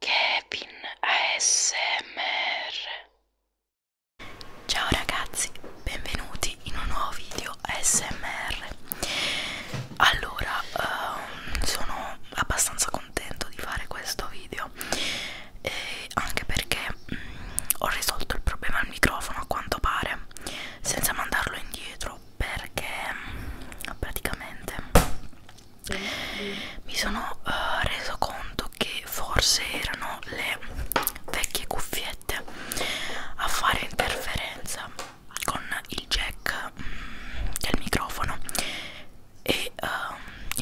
Kevin ASMR Ciao ragazzi, benvenuti in un nuovo video ASMR Allora, um, sono abbastanza contento di fare questo video e anche perché mh, mm, ho risolto il problema al microfono a quanto pare senza mandarlo indietro perché praticamente mi sono uh, reso conto che forse erano le vecchie cuffiette a fare interferenza con il jack mm, del microfono e uh,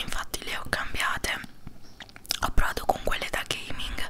infatti le ho cambiate ho provato con quelle da gaming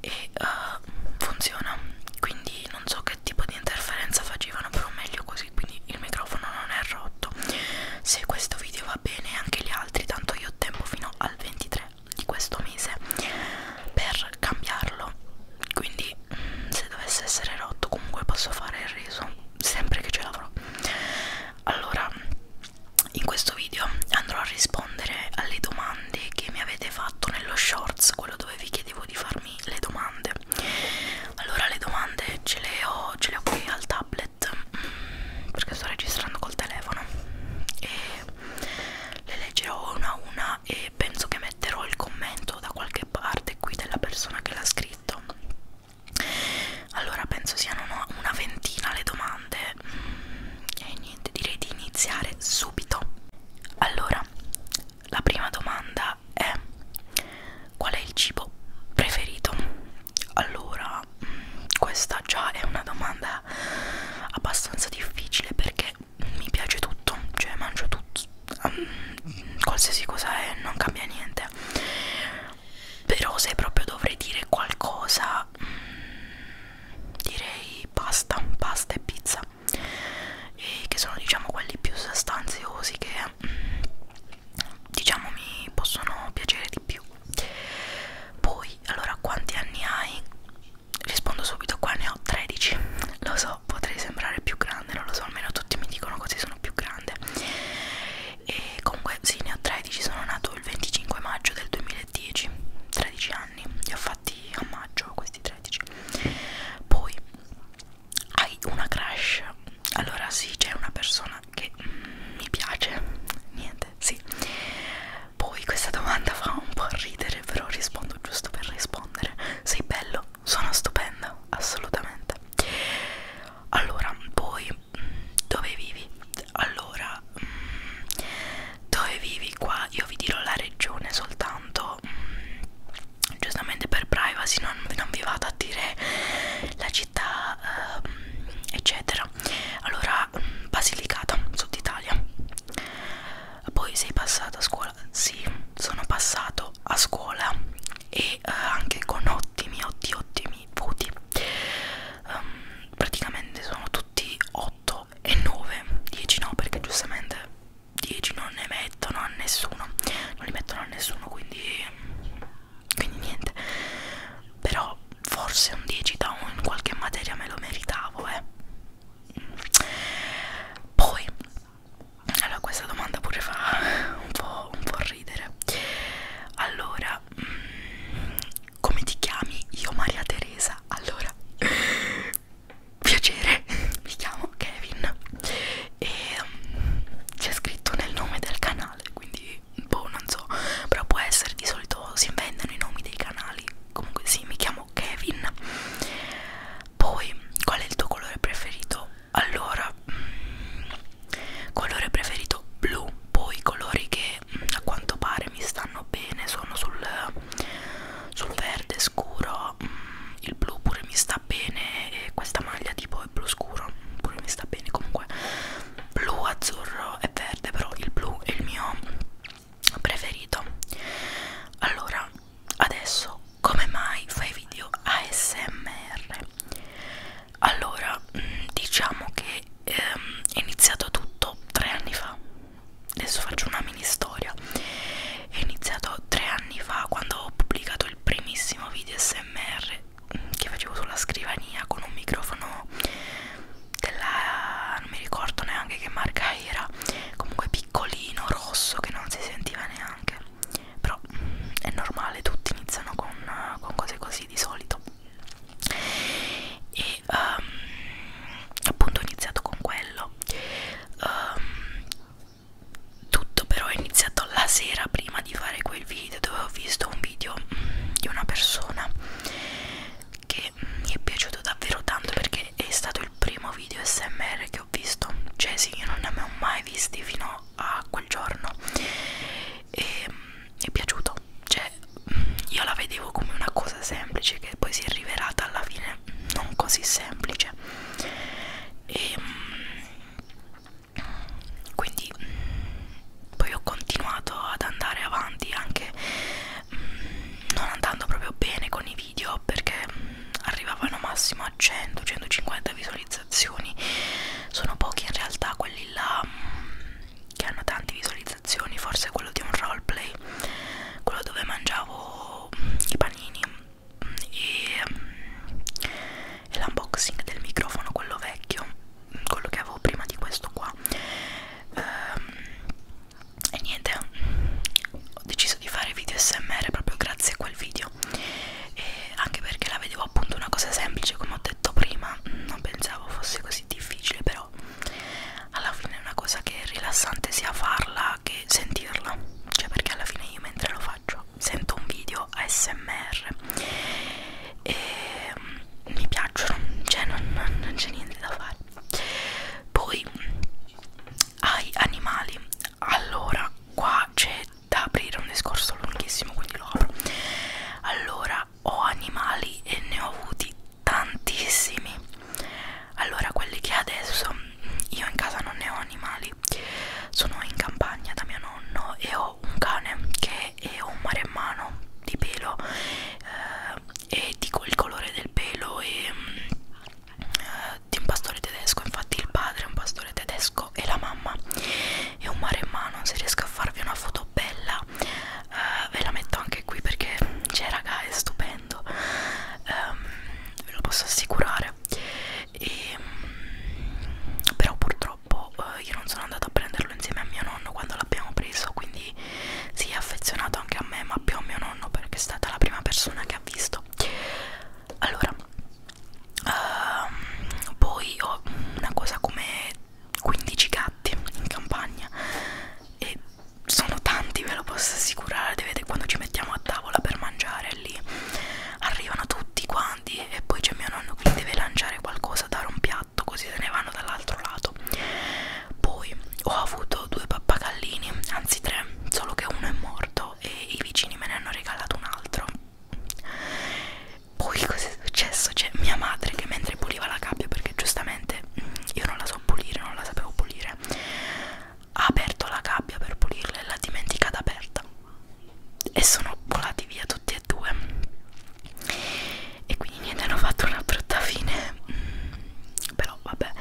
e uh, funziona quindi non so che tipo di interferenza facevano però meglio così quindi il microfono non è 18 se questo video va bene anche gli altri tanto io ho tempo fino al 23 di questo mese per cambiarlo quindi se dovesse essere rotto comunque posso fare il reso sempre che ce l'avrò allora in questo video andrò a rispondere alle domande che mi avete fatto nello shorts quello dove vi chiedevo di farmi le domande domande allora le domande ce le ho, ce le ho qui al tablet mm, perché sto registrando col telefono e le leggerò una a una e penso che metterò il commento da qualche parte qui della persona che l'ha scritto allora penso siano una ventina le domande mm, e niente direi di iniziare subito allora la prima domanda è qual è il cibo preferito? Allora, mm, questa già è una domanda abbastanza difficile perché mi piace tutto, cioè mangio tutto, mm, qualsiasi cosa è, non cambia niente. Però se proprio dovrei dire qualcosa, mm, direi pasta, pasta e pizza, e che sono diciamo quelli più sostanziosi che diciamo mi possono piacere di più poi allora quanti anni hai rispondo subito qua ne ho 13 lo so potrei sembrare più grande non lo so almeno tutti mi dicono così sono più grande e comunque sì ne ho 13 sono nato il 25 maggio del 2010 13 anni li ho fatti a maggio questi 13 poi hai una crush allora sì c'è una persona che mm, mi piace niente sì poi questa domanda fa un po' ridere però rispondo giusto per rispondere sei bello sono stupendo assolutamente allora poi mm, dove vivi allora mm, dove vivi qua io vi dirò la regione soltanto mm, giustamente per privacy non, non vi vado a dire la città uh, eccetera allora mm, Basilicata Sud Italia poi sei passato a scuola sì sono passato a scuola e uh, anche con ottimi ottimi ottimi voti um, praticamente sono tutti 8 e 9 10 no perché giustamente 10 non ne mettono a nessuno non li mettono a nessuno quindi, quindi niente però forse un 10 da in qualche materia me lo meritavo eh. poi allora questa domanda pure fa un po', un po ridere allora mm, come ti chiami io Maria Teresa allora piacere mi chiamo Kevin e um, c'è scritto nel nome del canale quindi boh non so però può essere di solito si inventano i nomi dei canali comunque sì mi chiamo Kevin poi qual è il tuo colore preferito allora mm, colore preferito blu poi colori che mm, a quanto pare mi stanno bene sono sul, sul verde scuro mm, il blu pure mi sta sta bene e questa maglia tipo è blu scuro pure mi sta bene comunque blu azzurro e verde però il blu è il mio preferito allora adesso come mai fai video ASMR allora mm, diciamo che ehm, è iniziato tutto tre anni fa adesso faccio una mini storia è iniziato tre anni fa quando ho pubblicato il primissimo video smr mm, che facevo sulla scrivania con un microfono della non mi ricordo neanche che marca era comunque piccolino rosso che non si sentiva neanche però mm, è normale tutti iniziano con, con cose così di solito e um, appunto ho iniziato con quello um, tutto però è iniziato la sera prima di fare quel video dove ho visto un video mm, di una persona che mm, mi è piaciuto davvero tanto perché è stato il primo video smr che ho visto cioè sì io non ne avevo mai visti fino a quel giorno e mm, è piaciuto cioè mm, io la vedevo come una cosa semplice che poi si è rivelata alla fine non così semplice e mm, quindi mh, mm, poi ho continuato ad andare avanti anche mh, mm, non andando proprio bene con i video perché mh, mm, arrivavano massimo a 100-150 visualizzazioni sono pochi in realtà quelli là mh, che hanno tante visualizzazioni forse quello di un roleplay quello dove mangiavo mh, i panini Mm, e l'unboxing del microfono quello vecchio mm, quello che avevo prima di questo qua ehm, e niente ho deciso di fare video smr proprio grazie a quel video e anche perché la vedevo appunto una cosa semplice come ho detto prima mm, non pensavo fosse così difficile però alla fine è una cosa che è rilassante sia farla che sentirla cioè perché alla fine io mentre lo faccio sento un video ASMR e mm, mi piacciono, cioè non, non c'è niente da fare. Poi ai animali, allora qua c'è da aprire un discorso lunghissimo, quindi lo apro. Allora ho animali e ne ho avuti tantissimi. Allora quelli che adesso io in casa non ne ho animali sono in campagna da mio nonno e ho un cane che è un maremmano di pelo eh, e dico il colore del pelo e eh, di un pastore tedesco infatti il padre è un pastore tedesco e la mamma è un maremmano se riesco a farvi una foto bella eh, ve la metto anche qui perché c'è cioè, raga è stupendo eh, ve lo posso assicurare e, ehm, però purtroppo eh, io non sono andata a prenderlo insieme a mio nonno quando l'abbiamo preso quindi si è affezionato anche a me ma più a mio nonno perché è stata la prima persona che ha visto allora uh, poi ho una cosa come 15 gatti in campagna e sono tanti ve lo posso assicurare vedete quando ci mettiamo a tavola per mangiare lì arrivano tutti quanti e poi c'è mio nonno che deve lanciare qualcosa, dare un piatto così se ne vanno dall'altro lato. Poi ho avuto due pappagallini, anzi tre, solo che uno è morto e i vicini me ne hanno regalato un altro. Poi cos'è successo? C'è mia madre che mentre puliva la gabbia perché giustamente mm, io non la so pulire, non la sapevo pulire ha aperto la gabbia per pulirla e l'ha dimenticata aperta e sono volati via tutti e due e quindi niente hanno fatto una brutta fine mm, però vabbè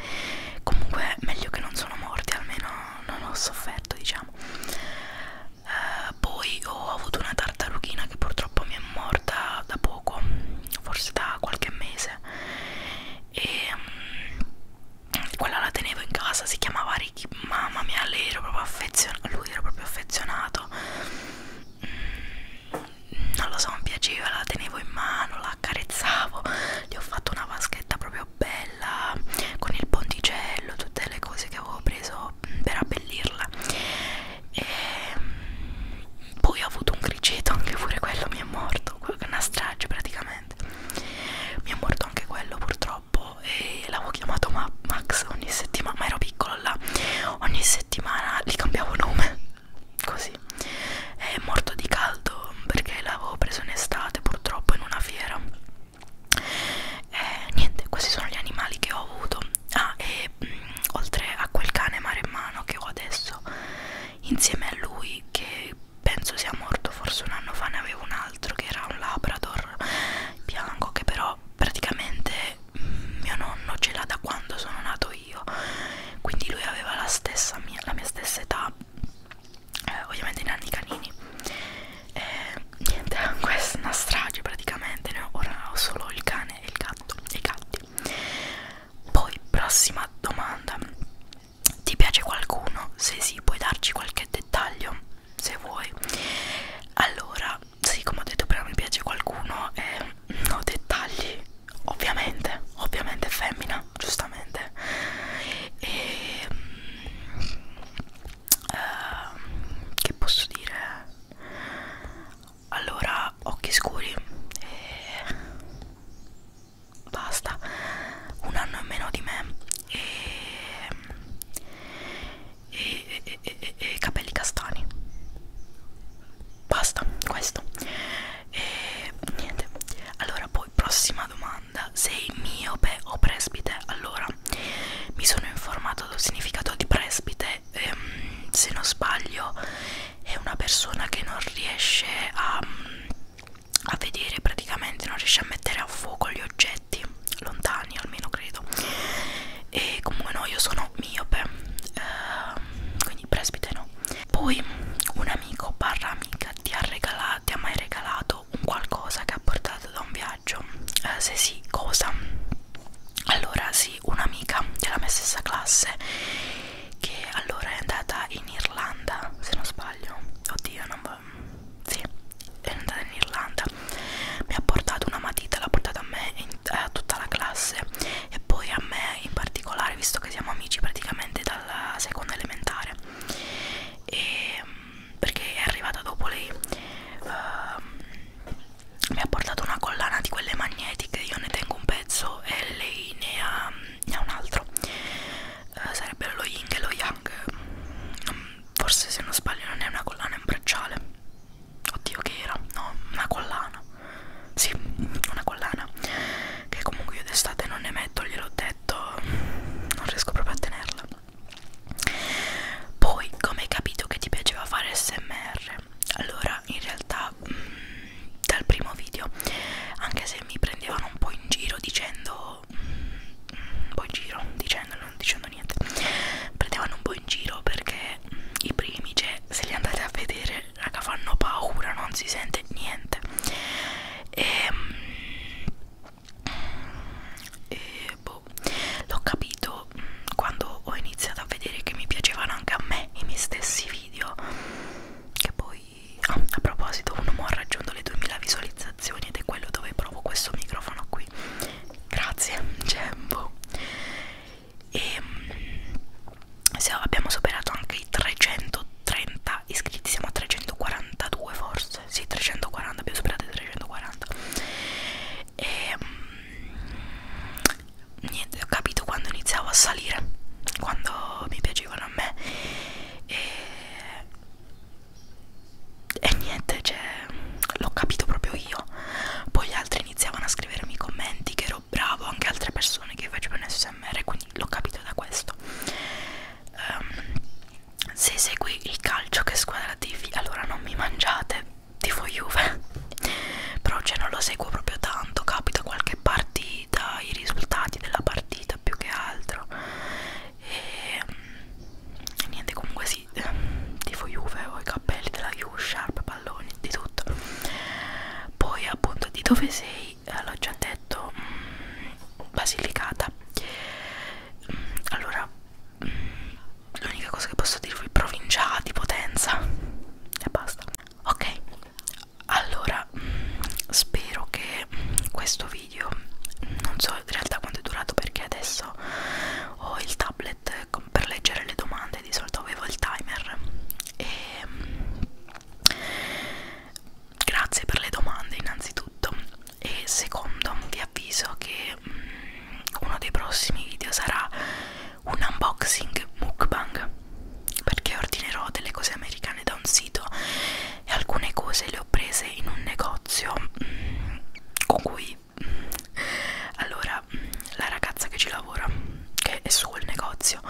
comunque meglio che non sono morti almeno non ho sofferto diciamo eh, poi ho avuto una tartarughina che purtroppo mi è morta da poco forse da qualche mese e mm, quella la tenevo in casa, si chiamava Ricky, mamma mia, lei ero proprio affezionato, lui era proprio affezionato, mm, non lo so, mi piaceva, la tenevo in mano, la accarezzavo, gli ho fatto una vaschetta proprio bella, con il ponticello, tutte le cose che avevo preso per abbellirla. E mm, poi ho avuto un criceto, anche pure quello mi è morto, una strage praticamente veramente mi è morto anche quello purtroppo e l'avevo chiamato Ma Max ogni settimana ma ero piccolo là ogni settimana gli cambiavo nome così è morto di caldo perché l'avevo preso in estate purtroppo in una fiera e eh, niente questi sono gli animali che ho avuto ah e mh, mm, oltre a quel cane maremmano che ho adesso insieme a lui che penso sia morto forse un anno fa ne avevo un altro che era un labrador bianco che però praticamente mm, mio nonno ce l'ha da quando sono nato io quindi lui aveva la stessa mia, la mia stessa età eh, ovviamente i nanni canini eh, niente questa è una strage praticamente no? ora ho solo il cane e il gatto e i gatti poi prossima domanda ti piace qualcuno? Se sì, puoi darci qualche dettaglio se vuoi. Allora, sì, come ho detto prima, mi piace qualcuno e eh, ho dettagli, ovviamente, ovviamente è femmina, giustamente. E eh, che posso dire? Allora, occhi scuri. E eh, basta un anno in meno di me e, e, e, e, e capelli castani basta questo e niente allora poi prossima domanda sei miope o presbite allora mi sono informato del significato di presbite ehm, se non sbaglio è una persona che non riesce a a vedere praticamente non riesce a mettere a fuoco gli oggetti lontani almeno credo e comunque no io sono miope eh, quindi presbite no poi un amico barra amica ti ha regalato ti ha mai regalato un qualcosa che ha portato da un viaggio eh, se sì cosa allora sì un'amica della mia stessa classe che allora è andata in Irlanda se non sbaglio oddio non sì, è andata in Irlanda mi ha portato una matita, l'ha portata a me e a tutta la classe e poi a me in particolare visto che siamo amici praticamente dalla seconda elementare e, perché è arrivata dopo lei uh, mi ha portato una collana di quelle magnetiche io ne tengo un pezzo e lei ne ha ne ha un altro eh, sarebbero lo Ying e lo Yang mm, forse se non sbaglio non è una collana è un bracciale oddio che era no una collana sì una collana che comunque io d'estate non ne metto gliel'ho detto non riesco proprio a tenerla poi come hai capito che ti piaceva fare smr allora in realtà mh, mm, dal primo video anche se mi prendevano un po' in giro dicendo po'. un po' in giro, dicendo, non dicendo niente. Prendevano un po' in giro perché i primi, cioè, se li andate a vedere, raga, fanno paura, non si sente niente. E, ehm, e boh, l'ho capito quando ho iniziato a vedere che mi piacevano anche a me i miei stessi video. Che poi ah, a proposito un uomo ha raggiunto le 2000 visualizzazioni ed è quello dove provo questo microfono qui grazie Gembo e ehm, se abbiamo superato anche i 330 iscritti siamo a 342 forse sì 340 abbiamo superato i 340 e ehm, niente ho capito quando iniziavo a salire quando mi piacevano a me e e niente, cioè, l'ho capito proprio io. Poi gli altri iniziavano a scrivermi commenti che ero bravo, anche altre persone che facevano SMR, quindi l'ho capito da questo. Um, se segui il calcio che squadra tifi, allora non mi mangiate, tifo Juve. Però cioè non lo seguo proprio tanto, capita qualche partita, i risultati della partita vita più che altro e um, niente comunque sì ehm, tifo Juve ho i capelli della Juve sharp palloni di tutto poi appunto di dove sei eh, l'ho già detto um, Basilicata um, allora um, l'unica cosa che posso dirvi provincia di Potenza e basta ok allora spero che questo video non so in realtà quanto è durato perché adesso ho il tablet per leggere le domande di solito avevo il timer e ehm, grazie per le domande innanzitutto e secondo vi avviso che mm, uno dei prossimi video sarà un unboxing mukbang perché ordinerò delle cose americane da un sito e alcune cose le ho prese in un negozio mm, con cui mm, allora mm, la ragazza che ci lavora che è su quel negozio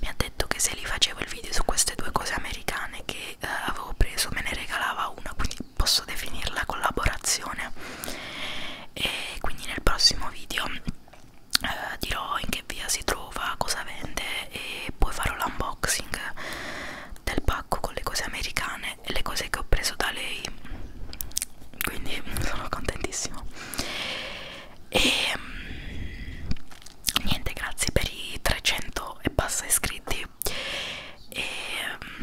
mi ha detto che se li facevo il video su queste due cose americane che eh, avevo preso me ne regalava una quindi posso definirla collaborazione e quindi nel prossimo video eh, dirò in che via si trova cosa vende e poi farò l'unboxing del pacco con le cose americane e le cose che ho preso da lei quindi sono contentissima e mm, niente grazie per i 300 e passa iscritti e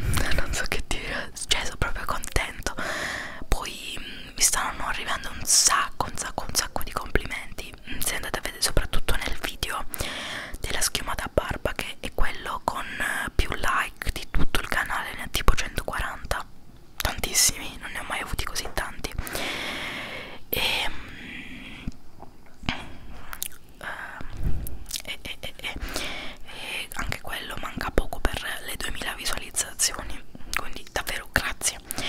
mm, non so che dire cioè sono proprio contento poi mm, mi stanno arrivando un sacco un sacco un sacco di complimenti se andate a vedere soprattutto nel video della schiumata a barba che è quello con più like di tutto il canale ne ha tipo 140 tantissimi non ne ho mai avuti così tanti e, mm, eh, e, e, e, e, e anche quello manca poco per le 2000 visualizzazioni quindi davvero grazie grazie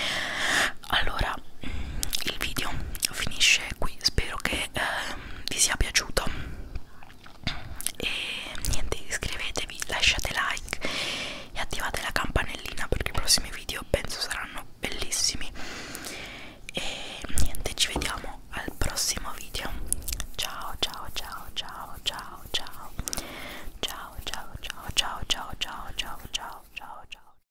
allora il video finisce qui spero che eh, vi sia piaciuto e niente iscrivetevi lasciate like e attivate la campanellina perché i prossimi video penso saranno bellissimi e niente ci vediamo al prossimo video ciao ciao ciao ciao ciao ciao ciao ciao ciao ciao ciao ciao ciao ciao ciao ciao